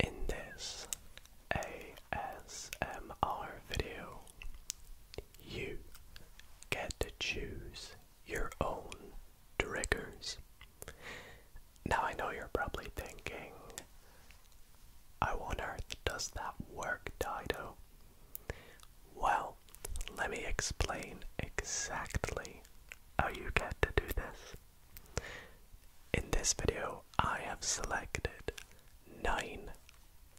In this ASMR video, you get to choose your own triggers. Now, I know you're probably thinking, how on earth does that work, Dido? Well, let me explain exactly how you get to do this. In this video, I have selected nine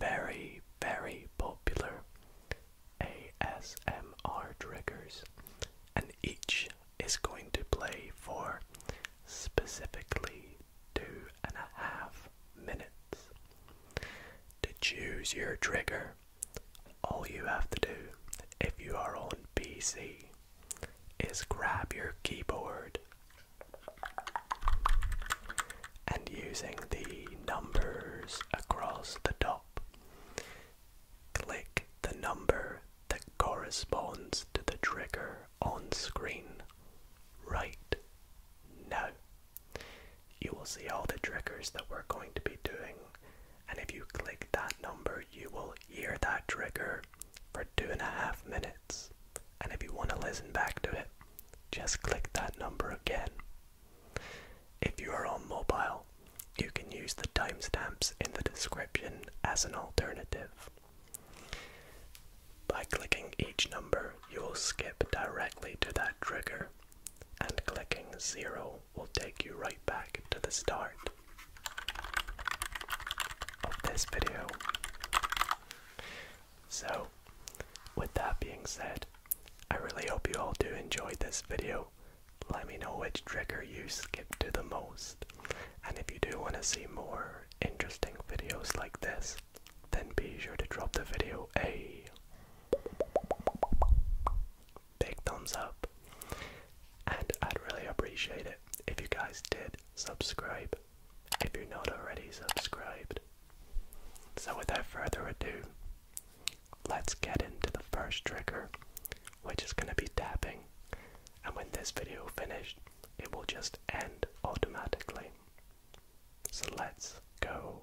very, very popular ASMR triggers, and each is going to play for specifically two and a half minutes. To choose your trigger, all you have to do, if you are on PC, is grab your keyboard and using the numbers across the top, click the number that corresponds to the trigger on screen right now. You will see all the triggers that we're going to be doing, and if you click that number, you will hear that trigger for two and a half minutes. And if you want to listen back to it, just click that number again. If you are on mobile, you can use the timestamps in the description as an alternative. By clicking each number, you will skip directly to that trigger, and clicking 0 will take you right back to the start of this video. So, with that being said, I really hope you all do enjoy this video. Let me know which trigger you skip to the most. And if you do want to see more interesting videos like this, then be sure to drop the video a big thumbs up. And I'd really appreciate it if you guys did subscribe if you're not already subscribed. So, without further ado, let's get into the first trigger, which is going to be tapping. And when this video finished, it will just end automatically. So, let's go.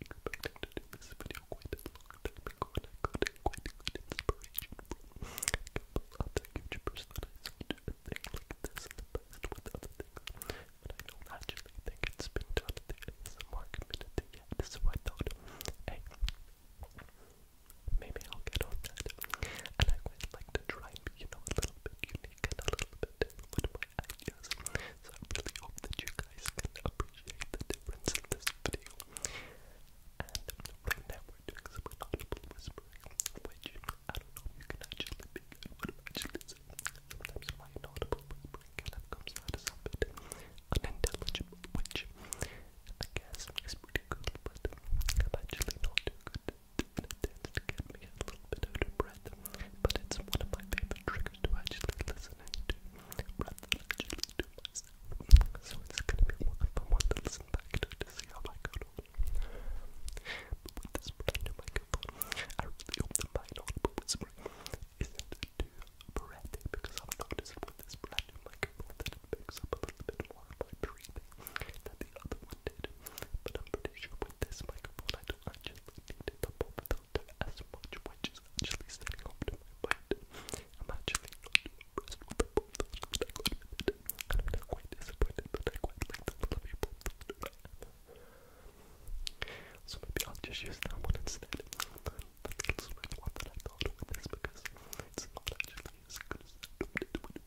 expected in this video quite a long time ago and I got a quite good inspiration from a couple other YouTubers that I saw do a thing like this in the past with other things. But I don't actually think it's been done in the ASMR community yet, so I thought, maybe I'll get on that. And I quite like to try and be, you a little bit unique and a little bit different So I really hope that you guys can appreciate the difference in this video. And right now we're doing some audible whispering, which I don't know if you can actually be good with actually Sometimes my inaudible whispering kind of comes out as a unintelligible, which I guess is pretty good, but I'm actually not too good. It me a little bit out of breath, but it's one of my favorite triggers to actually actually do myself. So it's gonna be a lot fun to listen back to to see how I got on. with this brand new microphone, I really hope the mine on but isn't too breathy because I've noticed with this brand new microphone that it picks up the other one I'm pretty sure with this microphone I don't actually need it to filter as actually standing up to my bite. I'm actually not impressed with I am not quite disappointed but I quite like the fluffy So maybe I'll just use that one instead. But it's really one that I thought with because it's not actually I hoped it would be.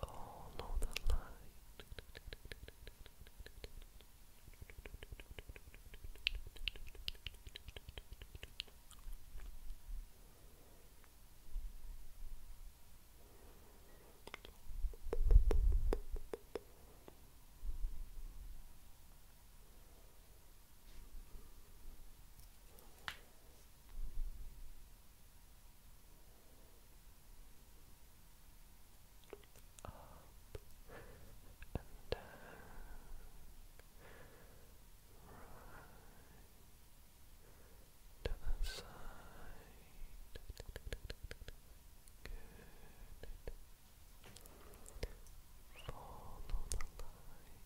Follow the light. Follow up and down, right to the side. Follow the light.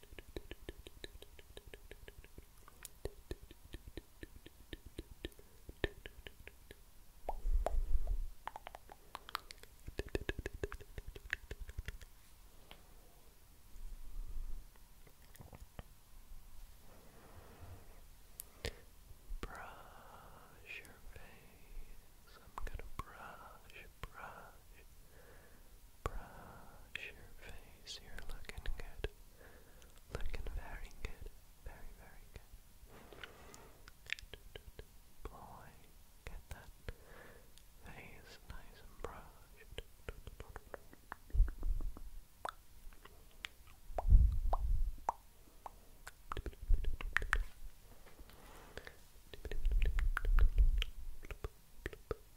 Brush your face. I'm gonna brush, brush, brush, wash your face. You're looking good. Looking very good. Very, very good. boy. Get that face nice and brushed.